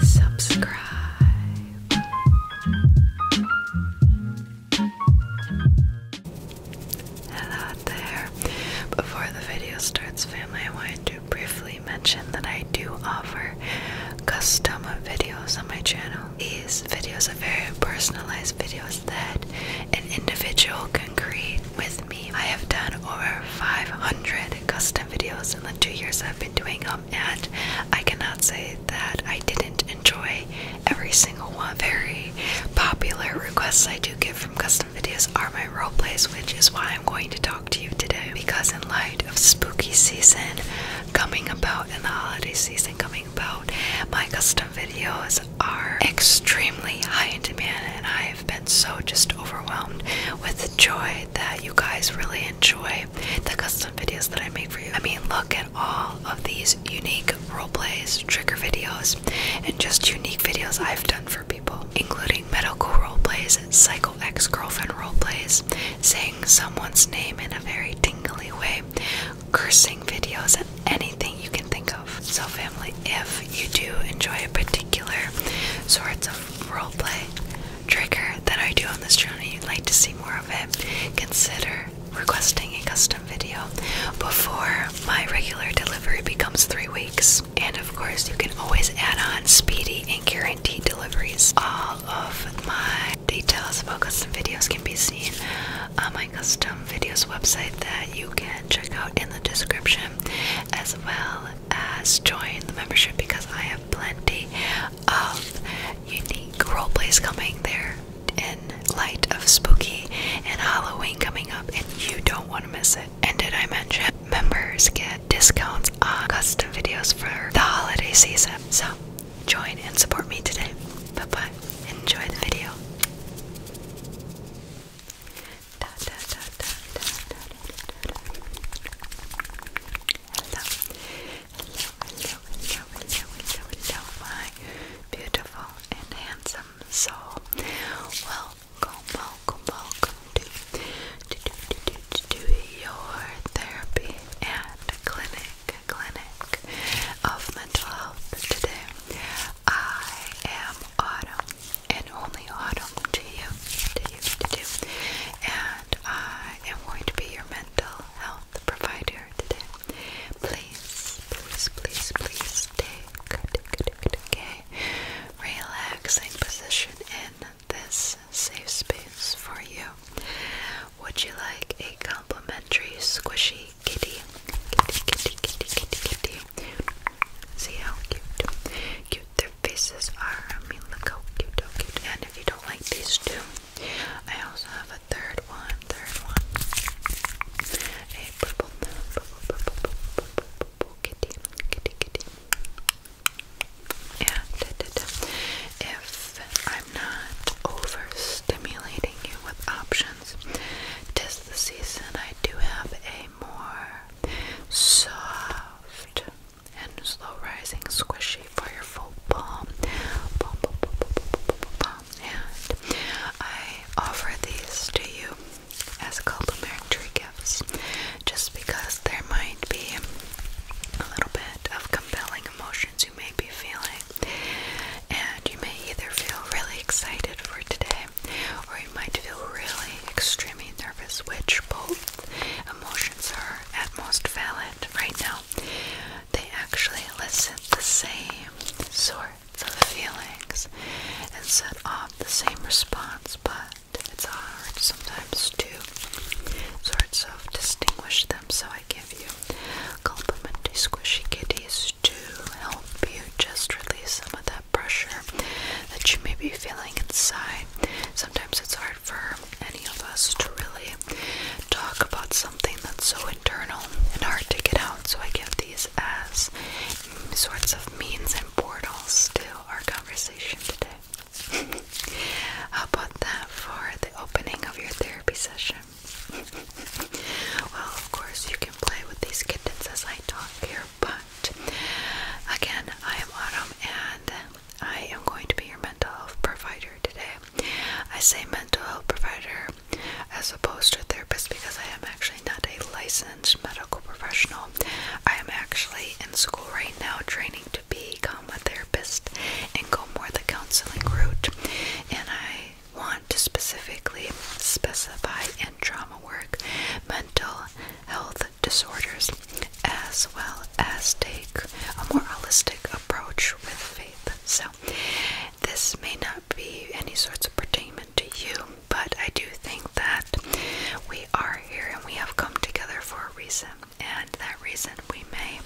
Subscribe. Hello there. Before the video starts, family, I wanted to briefly mention that I do offer custom videos on my channel. These videos are very personalized videos that an individual can create with me. I have done over 500 custom videos in the two years I've been doing them, and I cannot say that I didn't enjoy every single one. Very popular requests I do get from custom videos are my roleplays, which is why I'm going to talk to you today. Because, in light of spooky season coming about and the holiday season coming about, my custom videos are extremely high in demand, and I've been so just overwhelmed with the joy that you guys really enjoy the custom videos that I make for you. I mean, look at all of these unique roleplays, trigger videos, and just unique videos I've done for people, including medical roleplays, plays, psycho ex girlfriend roleplays, saying someone's name in a very tingly way, cursing videos, and anything you can think of. So, family, if you do enjoy a particular sorts of roleplay trigger that I do on this channel and you'd like to see more of it, consider requesting a custom video before my regular delivery becomes three weeks. And of course, you can always add on speedy and guaranteed deliveries. All of my details about custom videos can be seen on my custom videos website that you can check out in the description, as well as join the membership because I have plenty of unique roleplays coming there in light of spooky and Halloween coming up, and you don't want to miss it. And did I mention members get discounts on custom videos for the holiday season? So join and support me today. Bye bye. Enjoy the video da, da, da, da, da, da, da, da. Hello. Hello, hello, hello, hello, hello, hello, my beautiful and handsome soul. Welcome, welcome, welcome to, to, to, to, to, to your therapy and clinic, clinic of mental health today. I am autumn and only autumn to you, to you, to you. And I am going to be your mental health provider today. Please, please, please, please take, take, take, take a relaxing position in this safe space for you. Would you like a complimentary squishy kitty? Kitty, kitty, kitty, kitty, kitty. See how cute, cute their faces are. I mean, look how cute, how cute. And if you don't like these two, I also have a third one, third one. A purple, purple, purple, purple, purple kitty, kitty, kitty. And if I'm not overstimulating you with options seasons. Tis the season I do have a more soft and slow rising squishy for your full palm. And I offer these to you as a complimentary gifts just because there might be a little bit of compelling emotions you may be feeling. And you may either feel really excited for today or you might feel really extremely nervous, which both emotions are at most valid right now. They actually elicit the same sorts of feelings and set off the same response, but it's hard sometimes to sort of distinguish them, so I give you complimentary squishy kitties to help you just release some of that pressure that you may be feeling inside. Sometimes it's hard for any of us to really talk about something that's so internal and hard to get out, so I give these as sorts of means and portals to our conversation today. about that for the opening of your therapy session? well, of course, you can play with these kittens as I talk here, but again, I am Autumn and I am going to be your mental health provider today. I say mental health provider as opposed to therapist because I am actually not a licensed medical professional. I am actually in school right now training to become a therapist and go more the counseling route. And I want to specifically specify in trauma work mental health disorders as well as take a more holistic approach with faith. So, this may not be any sorts of pertinence to you, but I do think that we are here and we have come together for a reason, and that reason we may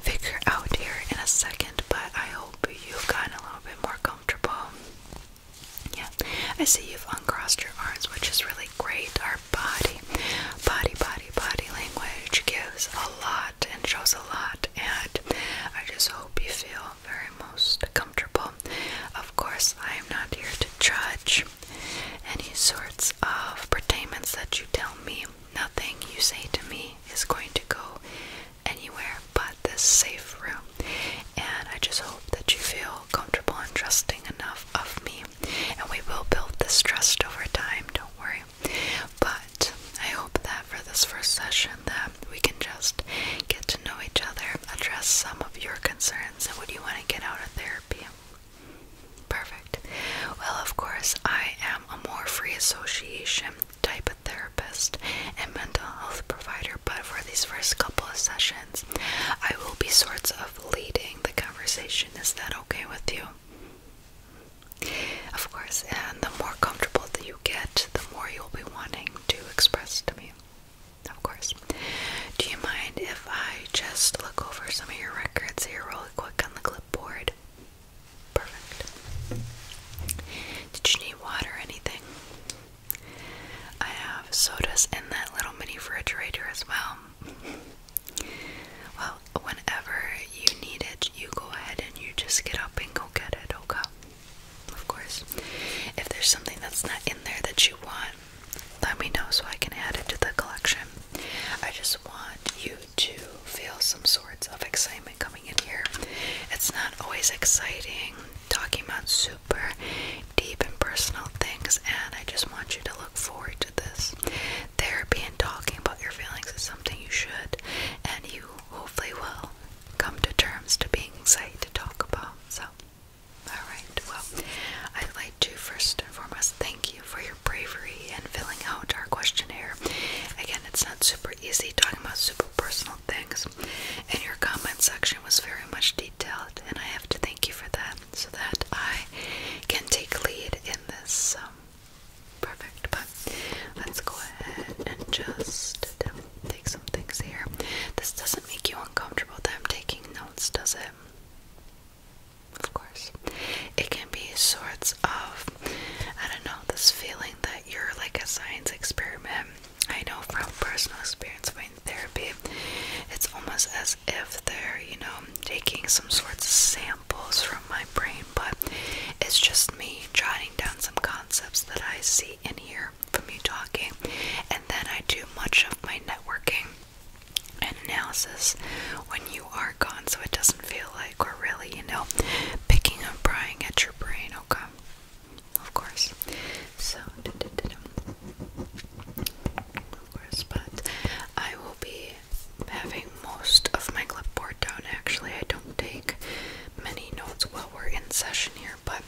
figure out here in a second. But I hope hope you've gotten a little bit more comfortable. Yeah, I see you've uncrossed your arms, which is really great. Our body, body, body, body language gives a lot and shows a lot, and I just hope you feel very most comfortable. Of course, I am not here to judge any sorts of pertinence that you tell me. Nothing you say to me is going to go anywhere but this safe room. And I just hope that you feel comfortable and trusting enough of me. And we will build this trust over time, don't worry. But I hope that for this first session that we can just get to know each other, address some of your concerns and what you want to get out of therapy. Perfect. Well, of course, I am a more free association type of therapist and mental health provider, but for these first couple of sessions, I will be sorts of leading the conversation. Is that okay with you? Of course, and the more comfortable that you get, the more you'll be wanting to express to me. Of course. Do you mind if I just look over some of your records here really quick on the clipboard? Perfect. Did you need water or anything? I have sodas in that little mini refrigerator as well. Well, whenever you need it, you go ahead and you just get up and go get it, okay? Of course. If there's something that's not in there that you want, let me know so I can add it to the collection. I just want you to feel some sorts of excitement coming coming here. It's not always exciting talking about super deep and personal things, and I just want you to look forward to this. Therapy and talking about your feelings is something you should, and you hopefully will come to terms to being excited to talk about. So, alright, well, I'd like to first and foremost thank you for your bravery in filling out our questionnaire. Again, it's not super easy talking about super personal Thanks, and your comment section was very much detailed, and I have to thank you for that so that I can take lead in this. Um, perfect, but let's go ahead and just um, take some things here. This doesn't make you uncomfortable that I'm taking notes, does it? Of course. It can be sorts of, I don't know, this feeling that you're like a science experiment. I know from personal experience in therapy, it's almost as if they're, you know, taking some sorts of samples from my brain, but it's just me jotting down some concepts that I see and hear from you talking, and then I do much of my networking and analysis when you are gone, so it doesn't feel like or really, you know, picking and prying at your brain, okay? Of course. So, of course, but I will be having most of my clipboard down actually. I don't take many notes while we're in session here, but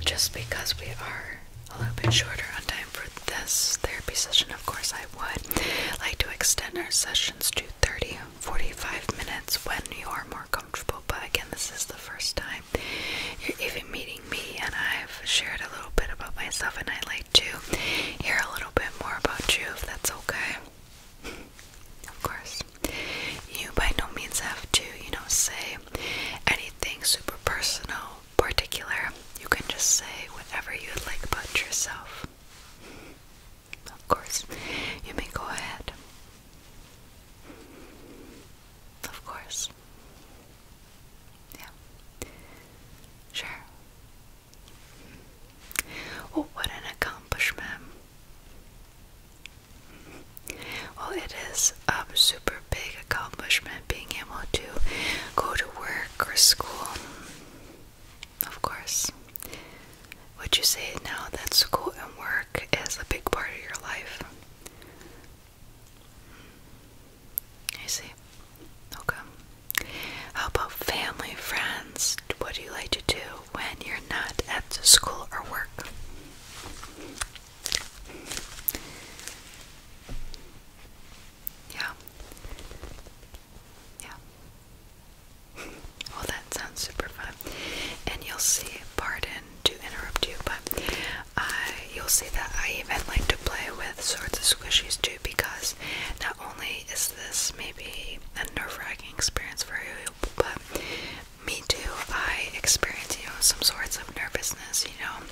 just because we are a little bit shorter on time for this therapy session, of course, I would like to extend our sessions to 30 45 minutes when you are more comfortable. But again, this is the first time you're even meeting me, and I've shared a little bit about myself, and I'd like to hear a little bit more about you if that's okay. Of course, you by no means have to, you know, say anything super personal, particular. You can just say whatever you'd like about yourself. Of course, you may go ahead. Of course. Yeah. Sure. Well, oh, what an accomplishment. Well, it is a super big accomplishment being able to go to work or school of course. Would you say now that school and work is a big part of your life? I see. Okay. How about family, friends? What do you like to do when you're not at school or work? Yeah. Yeah. Well, that sounds super fun. And you'll see, pardon to interrupt you, but I you'll see that I even like to play with sorts of squishies too because not only is this maybe a nerve-wracking experience for you, but me too, I experience, you know, some sorts of nervousness, you know.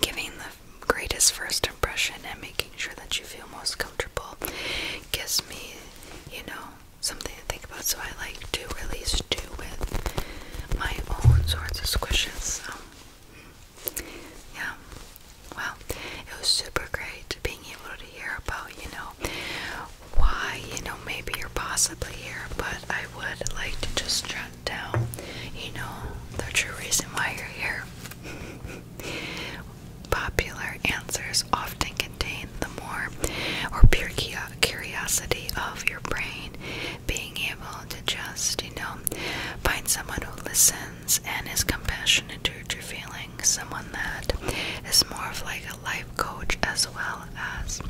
Giving the greatest first impression and making sure that you feel most comfortable gives me, you know, something to think about. So I like to release do with my own sorts of squishes. Um, yeah. Well, it was super great being able to hear about, you know, why, you know, maybe you're possibly here, but I would like to just jot down, you know, the true reason why you're here. popular answers often contain the more or pure curiosity of your brain being able to just, you know, find someone who listens and is compassionate towards your feelings, someone that is more of like a life coach as well as,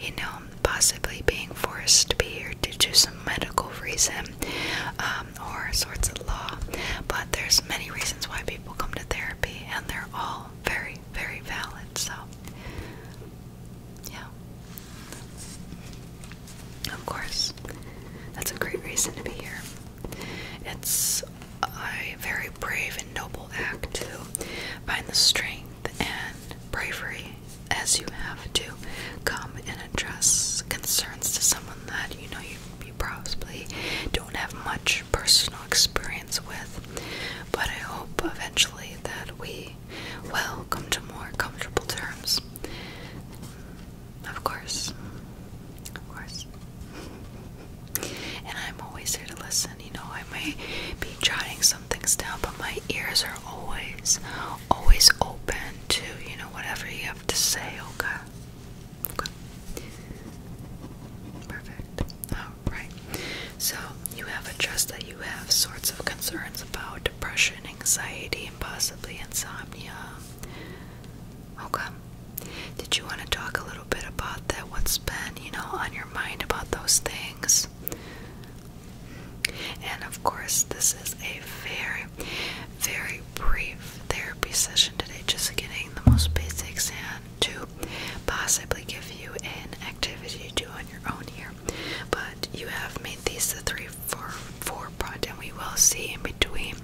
you know, possibly being forced to be here due to some medical reason um, or sorts of law. But there's many reasons why people come to therapy and they're all very, very valid. So, yeah. Of course, that's a great reason to be here. It's a very brave and noble act to find the strength and bravery as you have to come and address concerns to someone that you know you, you probably don't have much personal experience with, but I hope eventually that we will come to more comfortable terms. Of course. Of course. And I'm always here to listen. You know, I may be jotting some things down, but my ears are always, always open to, you know, whatever you have to say, okay? Oh Okay. Perfect. Alright. So, you have addressed that you have sorts of concerns about depression, anxiety, and possibly insomnia. Okay. Did you want to talk a little bit about that? What's been, you know, on your mind about those things? And of course, this is a very, very brief therapy session today, just getting the most basics and to possibly give you an activity to do on your own here. But you have made these the three, four, four point, for and we will see in between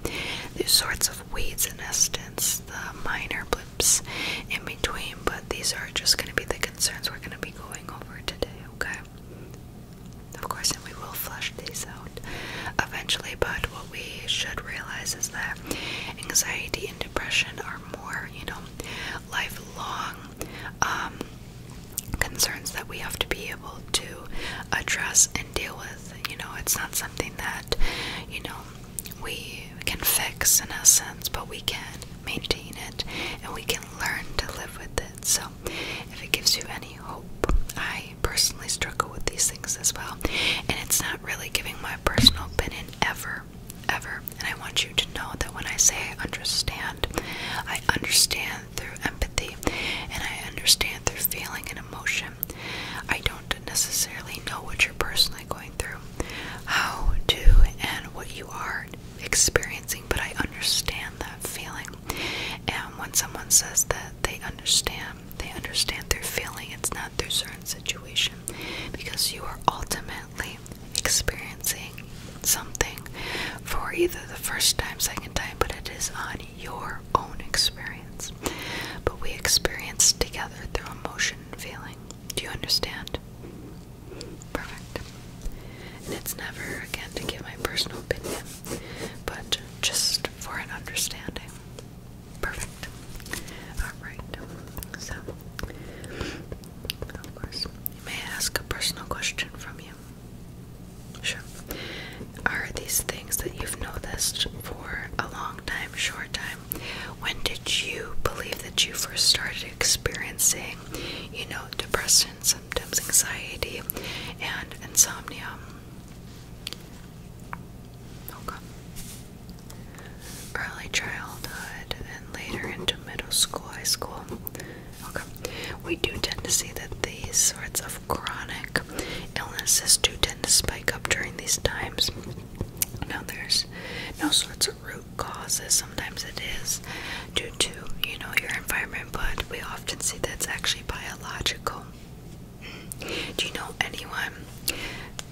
these sorts of weeds and essence, the minor blips in between. But these are just going to be the concerns we're going to be going over today, okay? Of course, and we will flush these out eventually, but what we should realize is that anxiety and depression are more, you know, lifelong um, concerns that we have to be able to address and deal with. You know, it's not something that, you know, we can fix in a sense, but we can maintain it and we can learn to live with it. So, if it gives you any hope, I personally struggle with these things as well. And it's not really giving my personal opinion ever, ever. And I want you to know that when I say I understand, I understand through empathy and I understand through feeling and emotion. I don't necessarily know what you're personally going through, how to, and what you are experiencing, but I understand that feeling. And when someone says that they understand, they understand their feeling, it's not their certain situation because you are ultimately experiencing something for either the first time, second time, but it is on your own experience. But we experience together through emotion and feeling. Do you understand? Perfect. And it's never again to give my personal opinion, but just for an understanding. Perfect. Alright, so of course, you may ask a personal question from you. Sure. Are these things that you've noticed for a long time, short time? When did you believe that you first started experiencing, you know, depression symptoms, anxiety, and insomnia? Okay. Early childhood and later into middle school, high school. Okay. We do tend to see that these sorts of chronic illnesses do tend to spike up during these times. Now, there's no sorts of root causes. Sometimes it is due to, you know, your environment, but we often see that it's actually biological. Do you know anyone?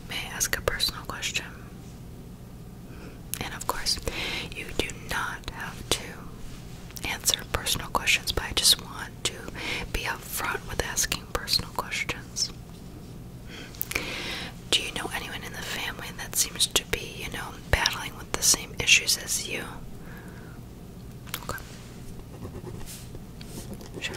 May ask a personal question? And of course, you do not have to answer personal questions, but I just want to be upfront with asking personal questions. Do you know anyone in the family that seems to be, you know, battling with the same issues as you? Okay. Sure.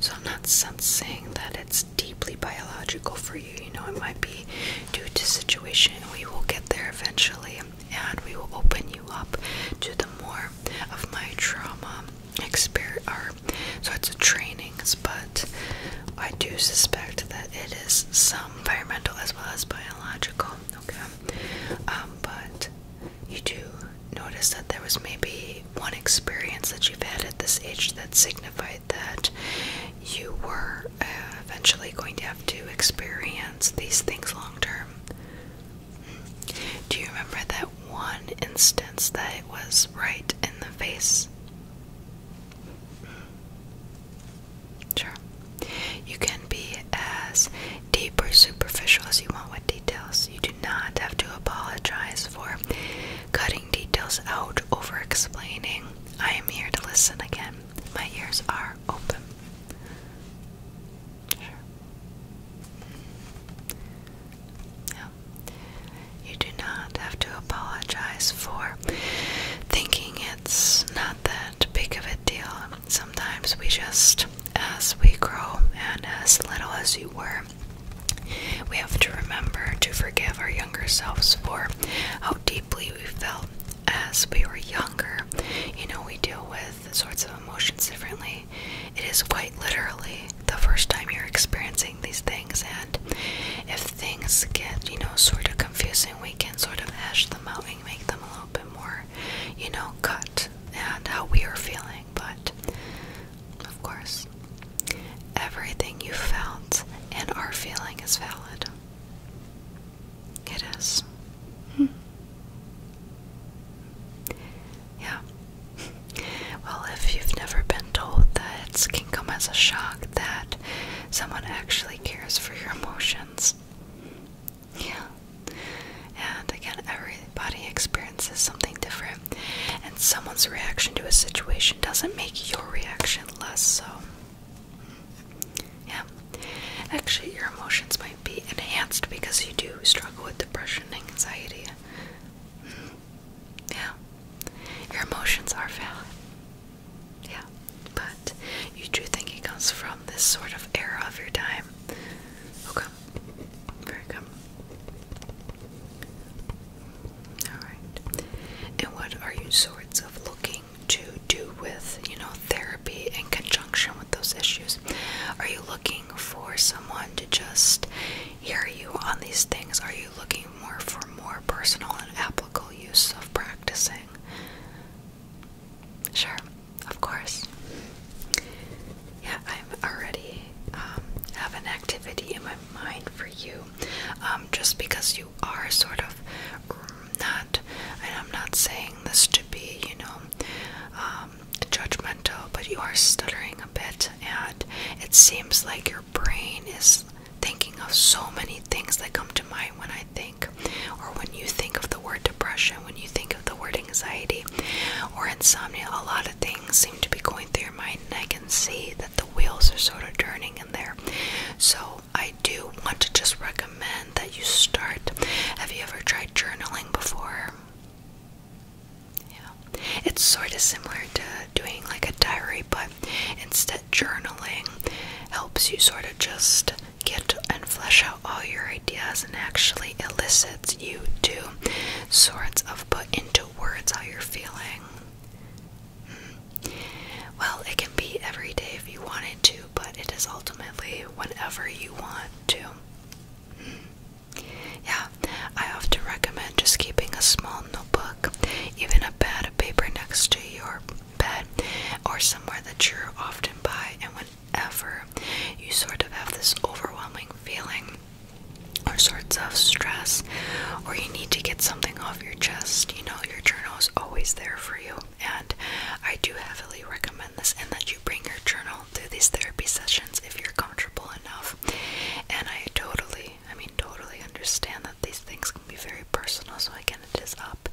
So I'm not sensing that it's deeply biological for you. You know, it might be due to situation. We will get there eventually, and we will open you up to the more of my trauma experience. So it's a trainings, but I do suspect that it is some environmental as well as biological. Okay, um, but you do notice that there was maybe one experience that you've had at this age that signified that you were uh, eventually going to have to experience these things long term. Do you remember that one instance that it was right in the face? Sure. You can be as deep or superficial as you want with details. You do not have to apologize for cutting details out over explaining. I am here to listen again. My ears are open. You do not have to apologize for thinking it's not that big of a deal sometimes we just, as we grow and as little as we were, we have to remember to forgive our younger selves for how deeply we felt as we were younger. You know, we deal with sorts of emotions differently. It is quite literally the first time you're experiencing these things, and if things get, you know, sort of confusing, we can sort of hash them out and make them a little bit more, you know, cut and how we are feeling, but of course, everything you felt and are feeling is valid. It is. Hmm. Yeah. Well, if you've never been told that it can come as a shock that someone actually cares for your emotions, yeah. And again, everybody experiences something different, and someone's reaction to a situation doesn't make your reaction less so. Yeah. Actually, your emotions might be enhanced because you do struggle with depression and anxiety. Mm-hmm. Yeah. Your emotions are valid. Yeah. But you do think it comes from this sort of era of your time Okay. Very good. Alright. And what are you sorts of looking to do with, you know, therapy in conjunction with those issues? Are you looking for someone to just hear you on these things? Are you looking more for more personal and applicable use of practicing? Sure, of course. Yeah, I'm already um, have an activity in my mind for you. Um, just because you are sort of not, and I'm not saying this to be, you know, um, judgmental, but you are stuttering a bit, and it seems like your brain is thinking of so many things that come to mind when I think, or when you think of the word depression, when you think of the word anxiety or insomnia, a lot of things seem to be going through your mind, and I can see that the wheels are sort of turning in there. So, I do want to just recommend that you start. Have you ever tried journaling before? Yeah, it's sort of similar to doing like a diary, but instead, journaling helps you sort of just get and flesh out all your ideas and actually elicits you to sorts of put into words how you're feeling. Hmm. Well, it can be every day if you wanted to, but it is ultimately whenever you want to. Hmm. Yeah, I often recommend just keeping a small notebook, even a pad of paper next to your bed or somewhere that you're often by, and when ever, you sort of have this overwhelming feeling or sorts of stress, or you need to get something off your chest, you know, your journal is always there for you. And I do heavily recommend this and that you bring your journal to these therapy sessions if you're comfortable enough. And I totally, I mean, totally understand that these things can be very personal. So, again, it is up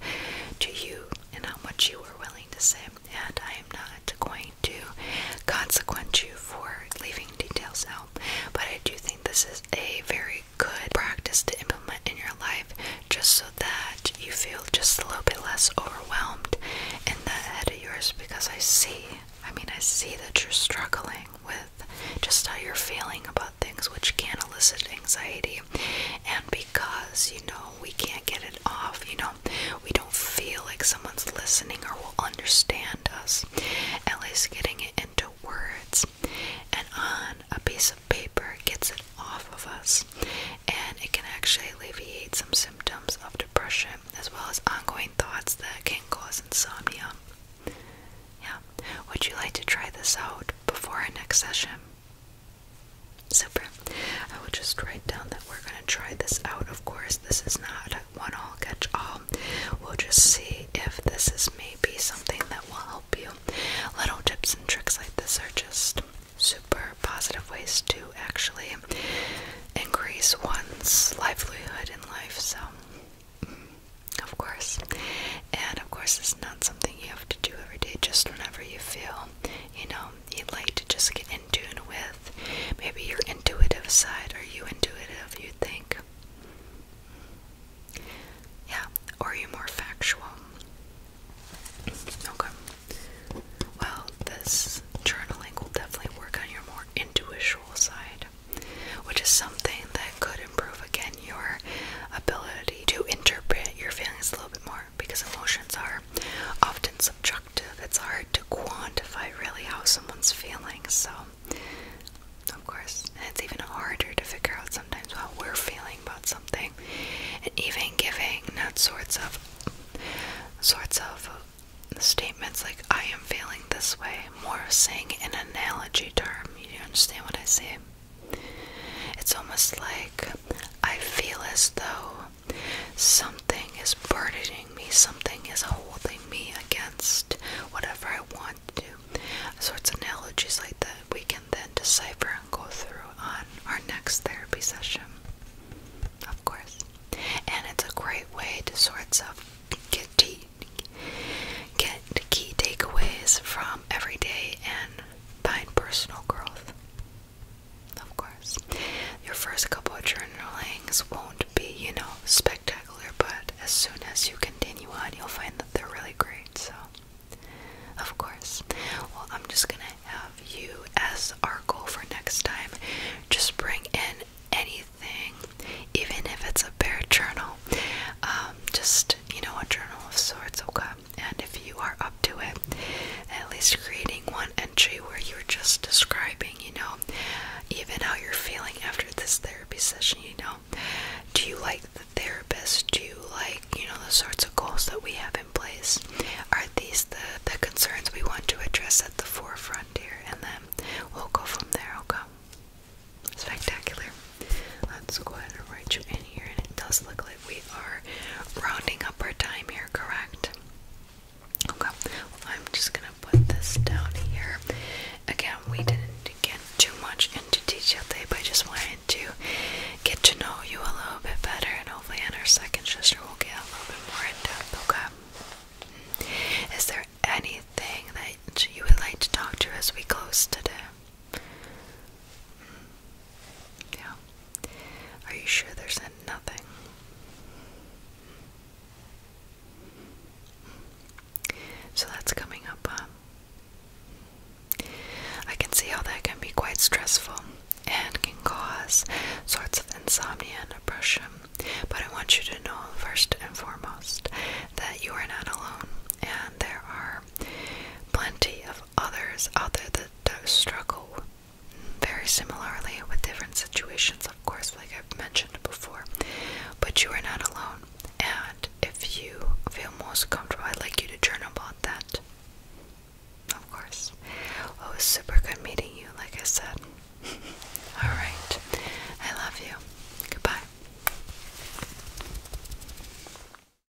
to you and how much you are willing to say and I am not going to consequence you for leaving details out. But I do think this is a very good practice to implement in your life just so that you feel just a little bit less overwhelmed in that head of yours because I see, I mean, I see that you're struggling with just how you're feeling about things which can elicit anxiety. And because you know we can't get it off, you know, we don't feel like someone's listening or will understand us. Ellie's getting it into words and on a piece of paper gets it off of us and it can actually alleviate some symptoms of depression as well as ongoing thoughts that can cause insomnia. Yeah. Would you like to try this out before our next session? Super. I will just write down that we're going to try this out. Of course, this is not one all catch all. We'll just see if this is maybe something that will help you. Little tips and tricks like this are just super positive ways to actually increase one's livelihood in life. So, mm, of course. And of course, it's not something you have to do every day, just whenever you feel, you know, you'd like to just get in tune with. Maybe your intuitive side. Are you intuitive, you think? Yeah, or are you more factual? Okay. Well, this journaling will definitely work on your more intuitional side, which is something that could improve again your ability to interpret your feelings a little bit more because emotions are often subjective. It's hard to quantify really how someone's feeling. So, of course, it's even harder to figure out sometimes how we're feeling about something. And even giving that sorts of sorts of statements like I am feeling this way, more saying an analogy term. You understand what I say? It's almost like I feel as though something is burdening me, something is holding me against whatever I want to do. So it's analogies like that we can then decipher and go through on our next therapy session, of course. And it's a great way to sort of get tea get key takeaways from every day and find personal growth. Of course. Your first couple of journalings won't be, you know, spectacular, but as soon as you continue on, you'll find that they're really great. So, of course. Well, I'm just gonna have you as our goal for next time. Just bring in anything, even if it's a bare journal. Um, just, you know, a journal of sorts, okay? and if you are up to it, at least creating one entry where you're just describing, you know, even how you're feeling after this therapy session, you know. Do you like the therapist? Do you like, you know, the sorts of goals that we have in place? Are these the, the concerns we want to address at the forefront here? And then we'll go from there, okay? Spectacular. Let's go ahead and write you in here, and it does look we are rounding up our time here, correct? Okay, I'm just gonna put this down here. Again, we didn't get too much into detail today, but I just wanted to get to know you a little bit better, and hopefully, in our second sister, we'll get a little bit more in depth. Okay, is there anything that you would like to talk to us? we close today? Yeah. Are you sure there's nothing? So that's coming up, uh, I can see how that can be quite stressful and can cause sorts of insomnia and depression. But I want you to know, first and foremost, that you are not alone, and there are plenty of others out there that struggle very similarly with different situations, of course, like I've mentioned before. But you are not alone, and if you feel most comfortable, I'd like you to journal about that. Of course. it was super good meeting you, like I said. Alright. I love you. Goodbye.